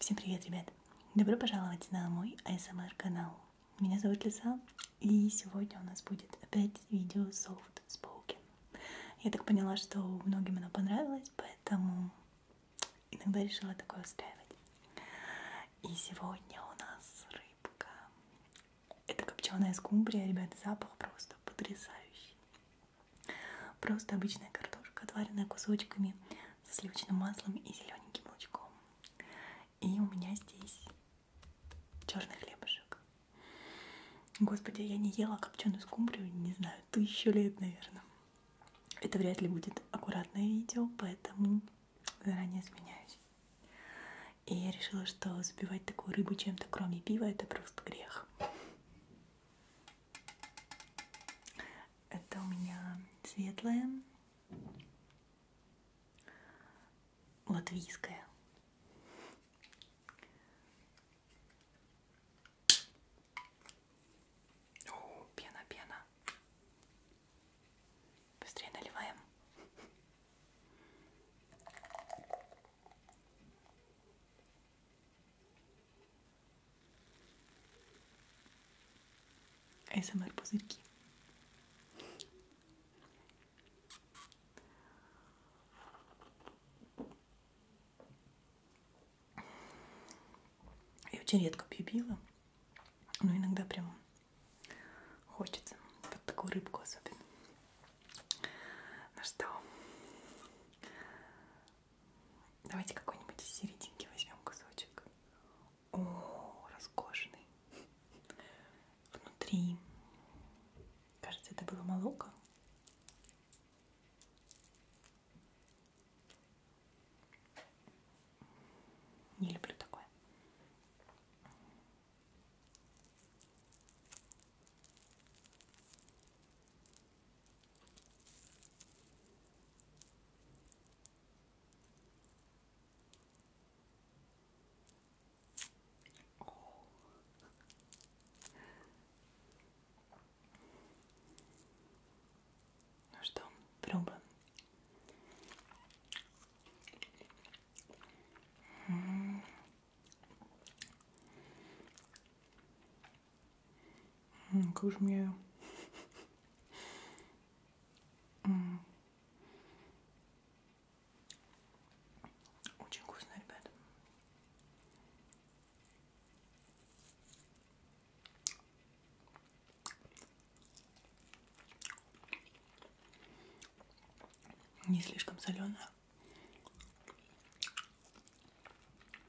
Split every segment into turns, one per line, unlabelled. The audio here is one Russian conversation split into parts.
Всем привет, ребят! привет! Добро пожаловать на мой ASMR канал. Меня зовут Лиса, и сегодня у нас будет опять видео Soft Spoken. Я так поняла, что многим оно понравилось, поэтому иногда решила такое устраивать. И сегодня у нас рыбка. Это копченая скумбрия, ребята, запах просто потрясающий. Просто обычная картошка, отваренная кусочками со сливочным маслом и зелененьким лучком. И у меня здесь черный хлебушек. Господи, я не ела копченую скумбрию, не знаю, тысячу лет, наверное. Это вряд ли будет аккуратное видео, поэтому заранее извиняюсь. И я решила, что забивать такую рыбу чем-то, кроме пива, это просто грех. Это у меня светлая латвийская. О, пена, пена. Быстрее наливаем. СМР пузырьки. Я очень редко пью пиво, но иногда прям хочется. Под такую рыбку особенно. Ну что, Давайте какой-нибудь из серединки возьмем кусочек. О, роскошный. Внутри. Кажется, это было молоко. Не люблю такое. Ну что, пробуем. Как же мне... Очень вкусно, ребята. Не слишком солено.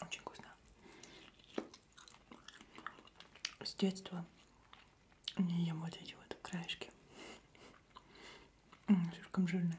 Очень вкусно. С детства не ем вот эти вот краешки. Слишком жирные.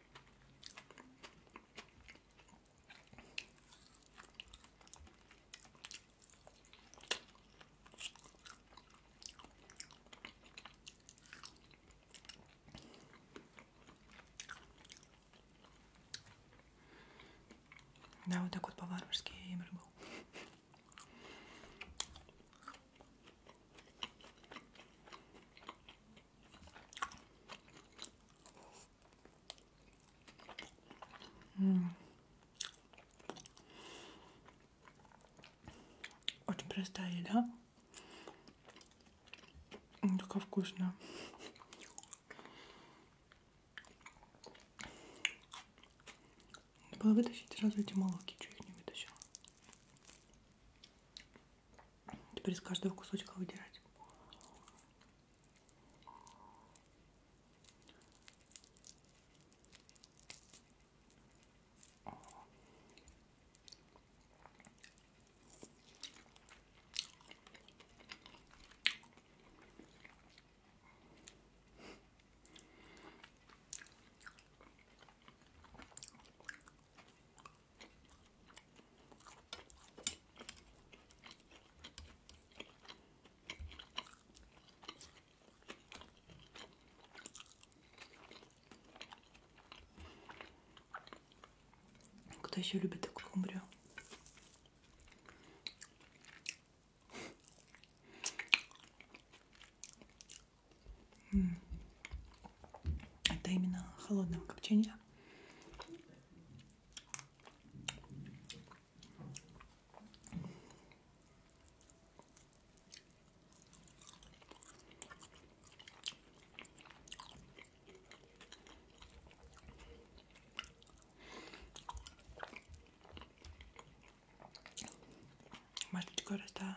Да, вот так вот по-варварски я им рыбу. Очень простая еда. Только вкусно. Надо было вытащить сразу эти молоки, чуть их не вытащила. Теперь с каждого кусочка выдирать. Кто еще любит такую умбрю? Это именно холодного копчения. Может быть, гораздо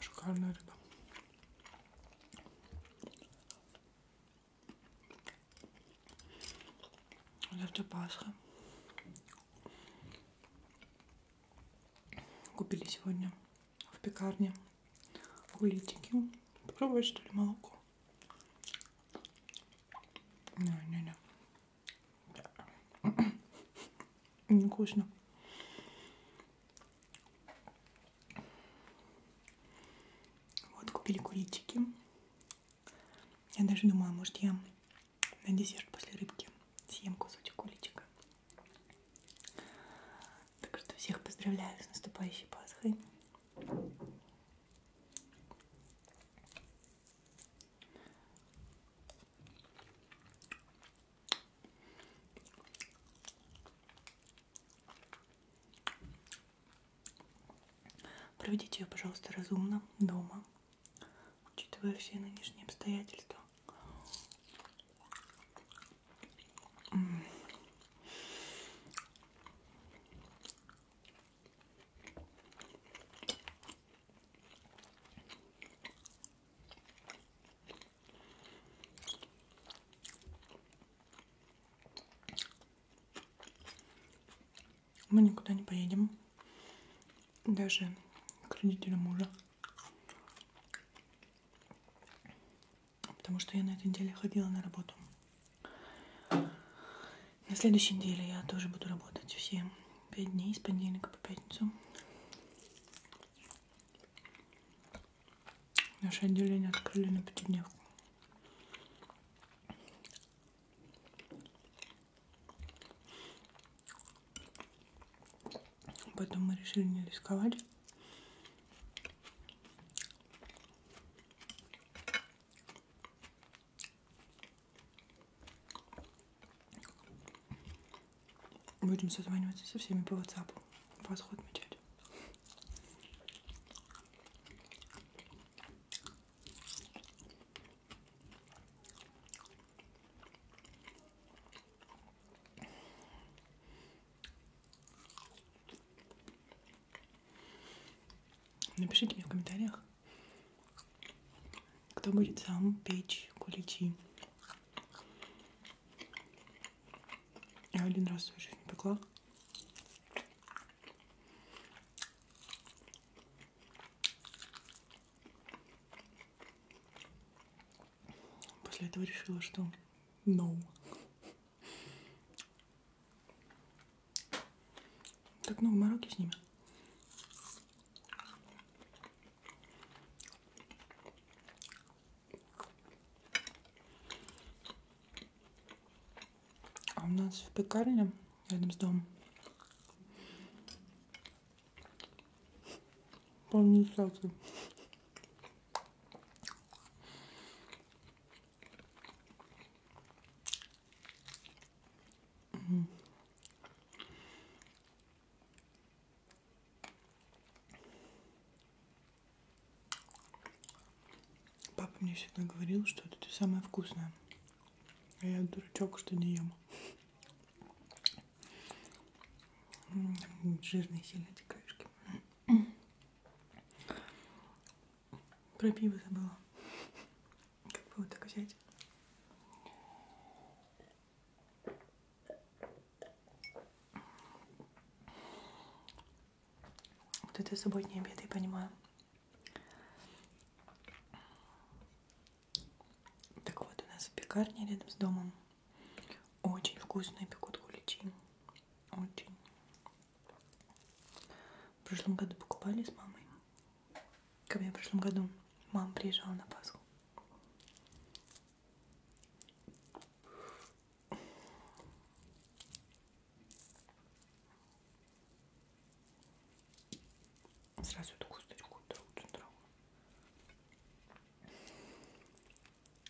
Шикарная рыба. Завтра Пасха. Купили сегодня в пекарне куличики. Попробуй, что ли, молоко? Не-не-не. Невкусно. Вот, купили куличики. Я даже думала, может, я на десерт после рыбки съем кусочек куличика. Так что всех поздравляю с наступающей Пасхой. Проведите ее, пожалуйста, разумно дома, учитывая все нынешние обстоятельства. Мы никуда не поедем. Даже к родителям мужа потому что я на этой неделе ходила на работу. На следующей неделе я тоже буду работать все пять дней с понедельника по пятницу. Наше отделение открыли на пятидневку. Поэтому мы решили не рисковать. Будем созваниваться со всеми по WhatsApp. Восход отмечать. Напишите мне в комментариях, кто будет сам печь куличи. Я один раз свою жизнь пекла. После этого решила, что no. Как много мороки с ними. А у нас в пекарне рядом с домом полный сладкий. Папа мне всегда говорил, что это ты самая вкусная. А я дурачок, что не ем. Жирные сильно эти краешки. Про пиво забыла. Как бы вот так взять. Вот это субботний обед, я понимаю. Так вот, у нас пекарня рядом с домом. Очень вкусные пекут куличи. Очень. В прошлом году покупали с мамой. Ко мне в прошлом году мама приезжала на Пасху. Сразу эту косточку трогаю.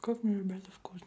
Как мне, ребята, вкусно.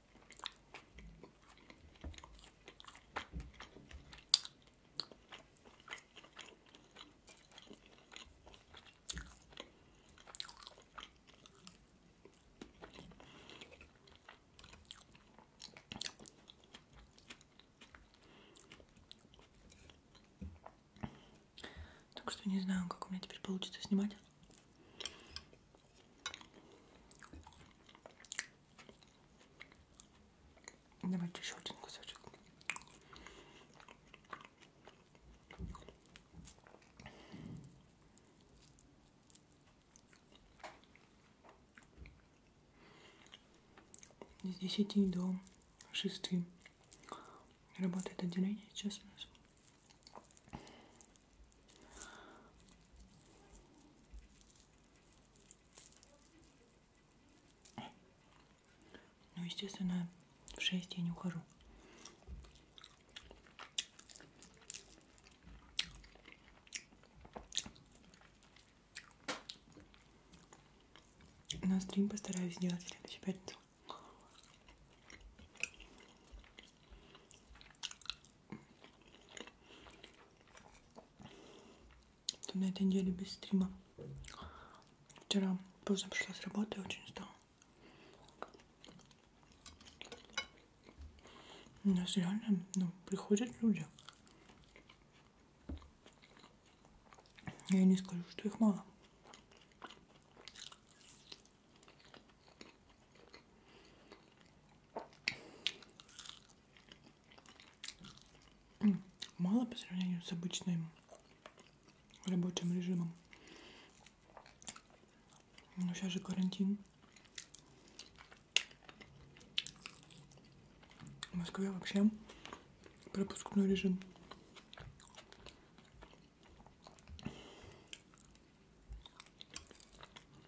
Так что не знаю, как у меня теперь получится снимать. Давайте еще один кусочек. Здесь 10 до 6 работает отделение сейчас у нас. Ну, естественно, в 6 я не ухожу. Но стрим постараюсь сделать в следующую пятницу. То на этой неделе без стрима. Вчера поздно пришла с работы, очень устала. У нас реально ну, приходят люди. Я не скажу, что их мало. Мало по сравнению с обычным рабочим режимом. Но сейчас же карантин. В Москве вообще пропускной режим.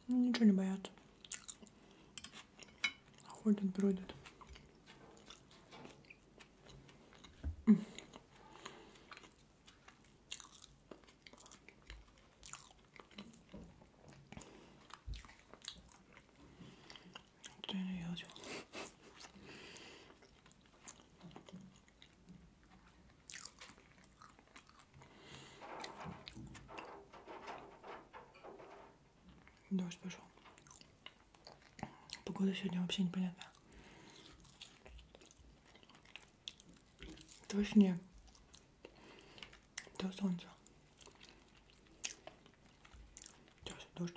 Ну, ничего не боятся. Ходят, бродят. Дождь пошел. Погода сегодня вообще непонятна. То снег, то солнце. Сейчас дождь.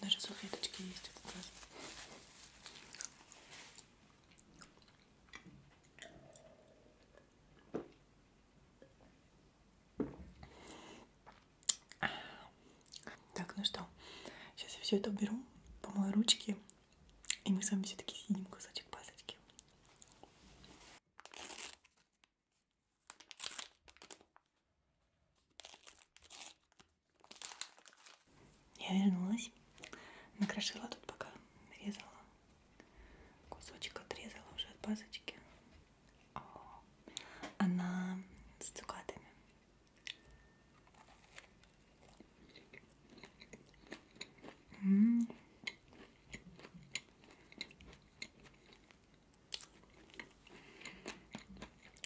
Даже салфеточки есть в этот раз. Так, ну что, сейчас я все это уберу, помою ручки и мы с вами все-таки съедим кусочек пасочки. Я вернулась, накрошила тут пока, нарезала. Кусочек отрезала уже от пасочки. О, а, она с цукатами. М -м -м.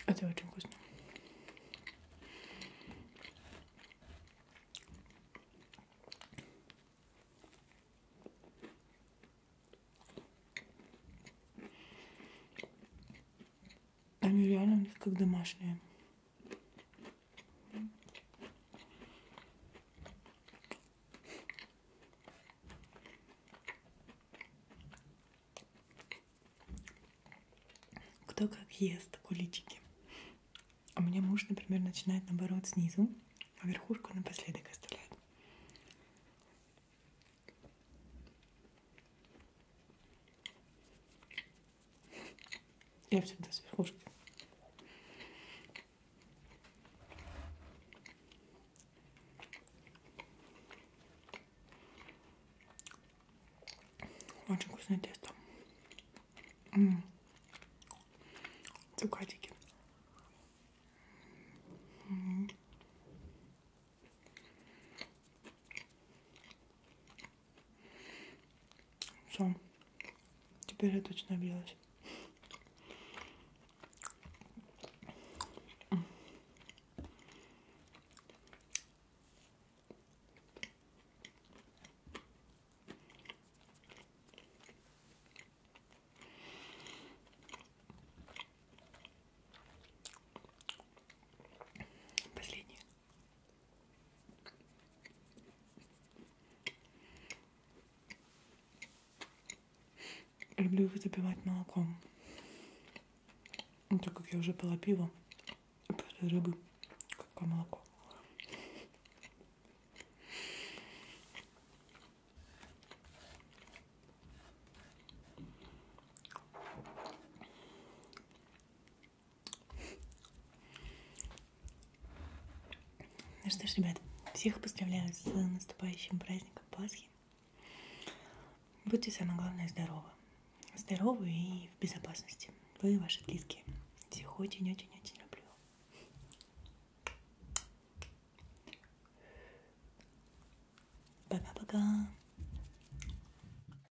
Это очень вкусно. Они реально как домашние. Кто как ест куличики. У а меня муж, например, начинает наоборот снизу, а верхушку напоследок оставляет. Я всегда с верхушки. Очень вкусное тесто. М -м. Цукатики. М -м. Все. Теперь я точно объелась. Последний. Люблю его запивать молоком. Но ну, так как я уже пила пиво, после рыбы, какое молоко. Ну что ж, ребят, всех поздравляю с наступающим праздником Пасхи. Будьте, самое главное, здоровы. Здоровы и в безопасности. Вы и ваши близкие. Всех очень-очень-очень люблю. Пока-пока.